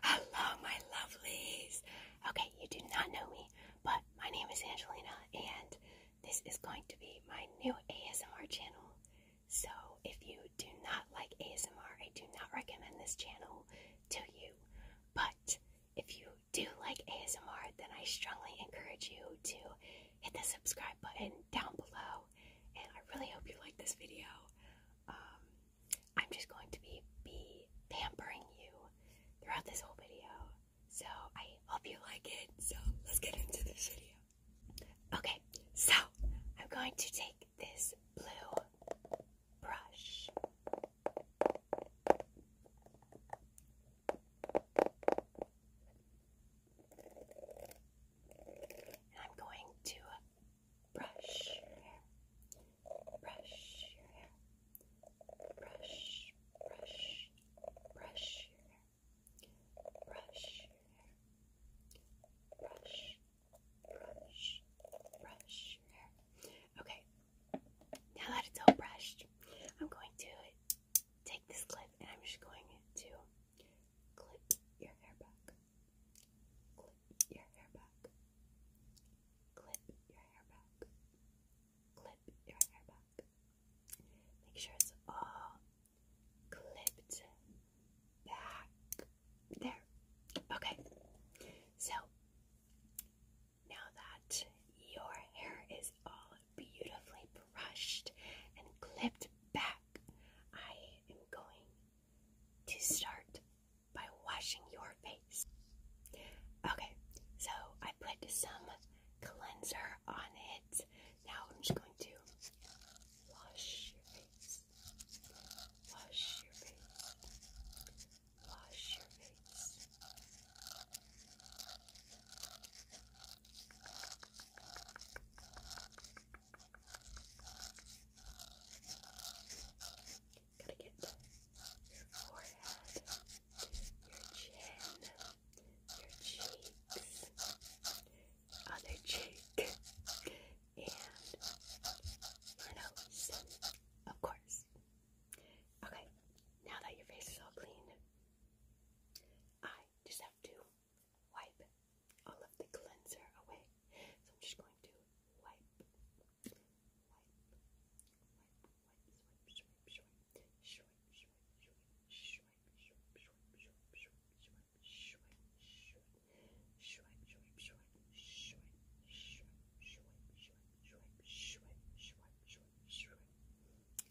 Hello, my lovelies. Okay, you do not know me, but my name is Angelina, and this is going to be my new ASMR channel. So, if you do not like ASMR, I do not recommend this channel to you. But if you do like ASMR, then I strongly encourage you to hit the subscribe button down below. And I really hope you like this video. Um, I'm just going to be, be pampering you throughout this whole video. So I hope you like it. So let's get into this video. Okay, so I'm going to take this blue brush. And I'm going to brush brush your hair. Brush, brush, brush your hair. Brush your hair. Brush, brush, brush your hair. Okay, now that it's all brushed, I'm going to take this clip and I'm just going to clip your hair back. Clip your hair back. Clip your hair back. Clip your hair back. Make sure it's all clipped back. There. Okay. So, now that your hair is all beautifully brushed and clipped back, I am going to start by washing your face. Okay, so I put some cleanser on it. Now I'm just going to wash your face. Wash your face. Wash your face. Gotta get your forehead, your chin, your cheeks, other cheek, and your nose, of course. Okay, now that your face is all clean, I just have to wipe all of the cleanser away. So I'm just going to wipe,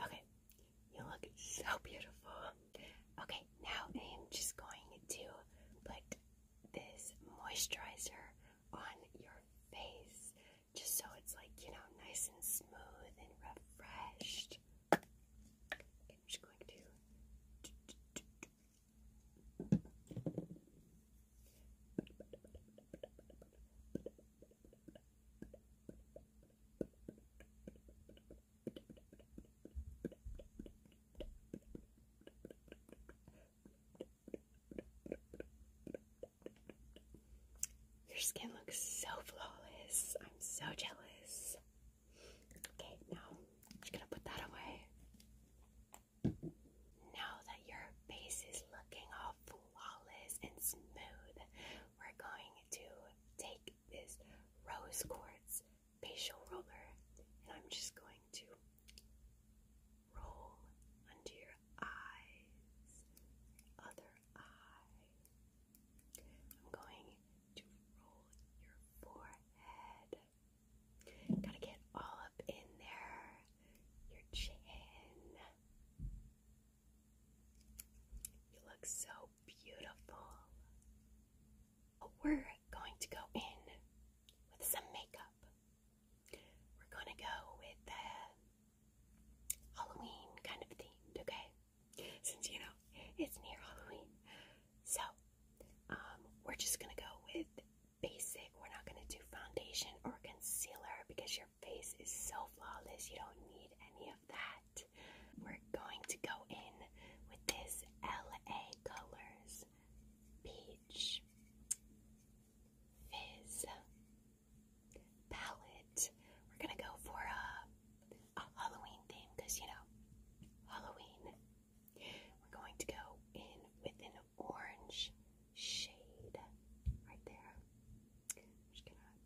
Okay, you look so beautiful. Okay, now I am just going to put this moisturizer on your face just so it's like, you know, nice and smooth and refreshed. I'm just going to your skin looks so flawless. I'm so jealous. Okay, now I'm just gonna put that away. Now that your face is looking all flawless and smooth, we're going to take this rose quartz facial roller and I'm just going to Roll under your eyes, other eye. I'm going to roll your forehead. Gotta get all up in there. Your chin. You look so beautiful. We're going to go in with some makeup. We're gonna go with the Halloween kind of themed, okay? Since you know it's near Halloween. So, um, we're just gonna go with basic. We're not gonna do foundation or concealer because your face is so flawless, you don't need any of that. We're going to go in with this LA Colors Peach fizz palette. We're gonna go for a, Halloween theme because you know, Halloween. We're going to go in with an orange shade right there. just gonna.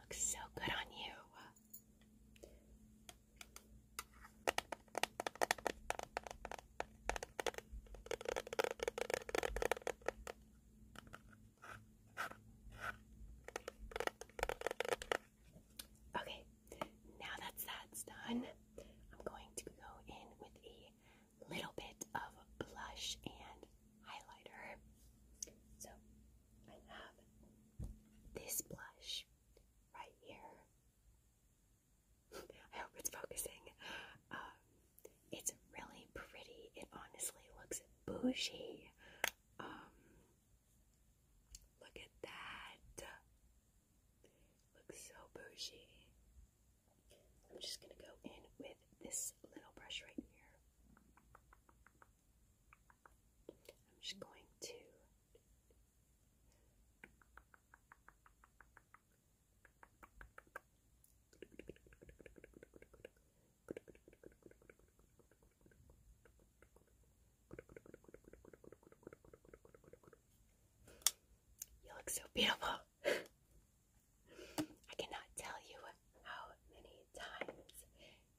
Looks so good on you. Okay, now that that's done, I'm going to go in with a little bit of blush and highlighter. So I have this blush right here. I hope it's focusing. Um, it's really pretty. It honestly looks bougie. Um, look at that. Looks so bougie. I'm just gonna go in with this little brush right here. I'm just going to you look so beautiful. I cannot tell you how many times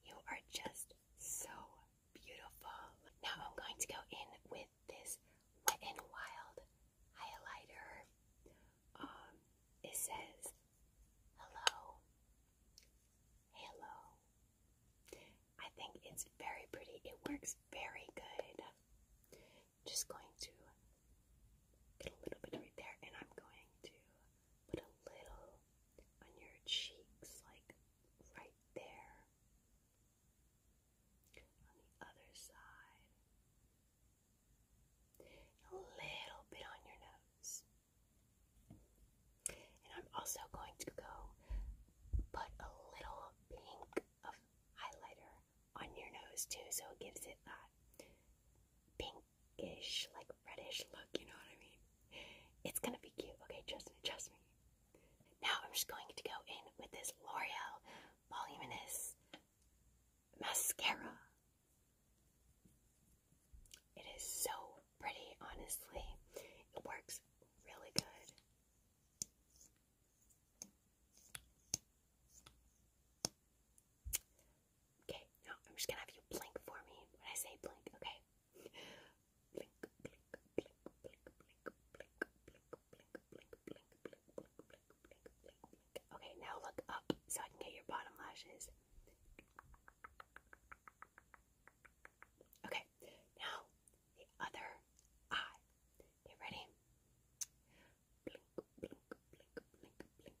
you are just so beautiful. Now I'm going to go in with this Wet n Wild highlighter. Um, it says hello, hello, I think it's very pretty. It works very good. Just going to get a little bit right there, and I'm going to put a little on your cheeks, like right there. On the other side, a little bit on your nose. And I'm also going to go put a little pink of highlighter on your nose too, so it gives it that pinkish, like reddish look, you know what I mean? It's gonna be cute, okay, trust me, trust me. Now I'm just going to go in with this L'Oreal Voluminous Mascara. It is so pretty, honestly. It works really good. Okay, now I'm just gonna have you blink for me when I say blink, okay? Blink, blink, blink, blink, blink, blink, blink, blink, blink, blink, blink, blink, blink, blink, blink, blink. Okay, now look up so I can get your bottom lashes. Okay, now the other eye. Okay, ready? Blink, blink, blink, blink, blink, blink, blink, blink,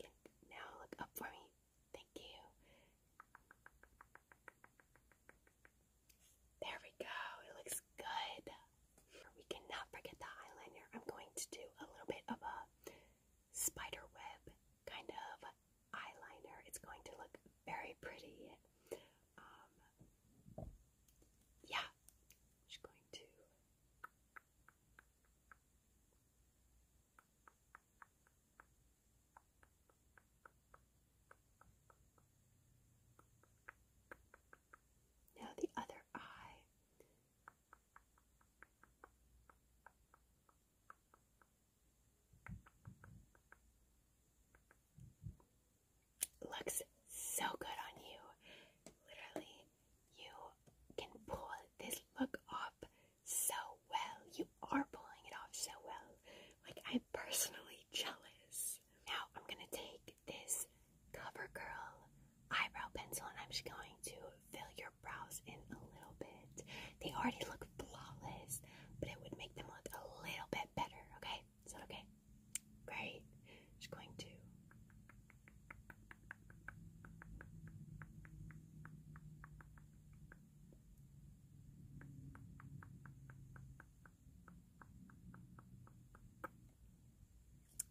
blink, blink, blink, blink, blink. Now look up for me. Thank you. There we go. It looks good. We cannot forget the eyeliner. I'm going to do a little bit of a spider web kind of eyeliner. It's going to look very pretty. Um, yeah, i going to. Now the other eye. Looks so good on you. Literally, you can pull this look off so well. You are pulling it off so well. Like, I'm personally jealous. Now, I'm gonna take this CoverGirl eyebrow pencil and I'm just going to fill your brows in a little bit. They already look flawless, but it would make them look a little bit better, okay? Is that okay? Great. Just going to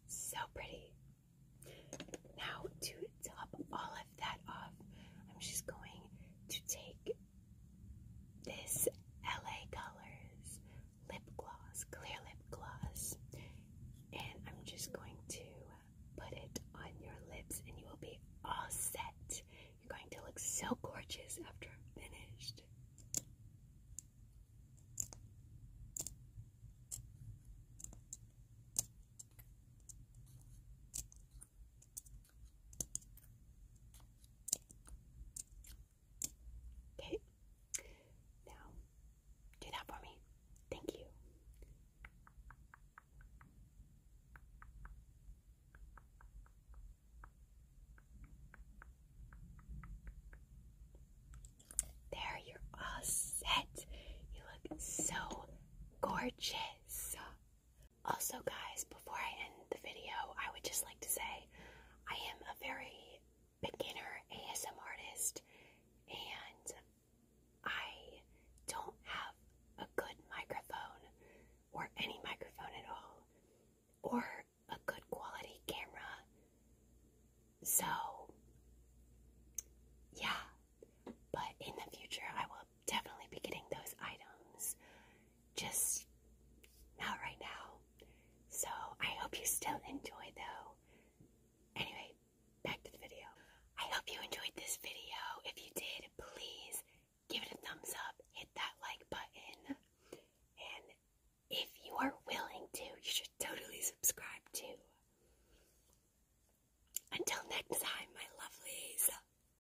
so pretty. Now, to top all of that off, I'm just going to take this LA Colors lip gloss, clear lip gloss, and I'm just going to put it on your lips, and you will be all set. You're going to look so gorgeous after I'm finished. Okay. Now, do that for me. Thank you. There, you're all set. You look so gorgeous. Also, guys, before I end the video, I would just like to say I am a very beginner ASM artist and I don't have a good microphone or any microphone at all or a good quality camera. So, yeah, but in the future, I will definitely be getting those items just not right now. So I hope you still enjoy though. Anyway, back to the video. I hope you enjoyed this video. If you did, please give it a thumbs up, hit that like button, and if you are willing to, you should totally subscribe too. Until next time, my lovelies.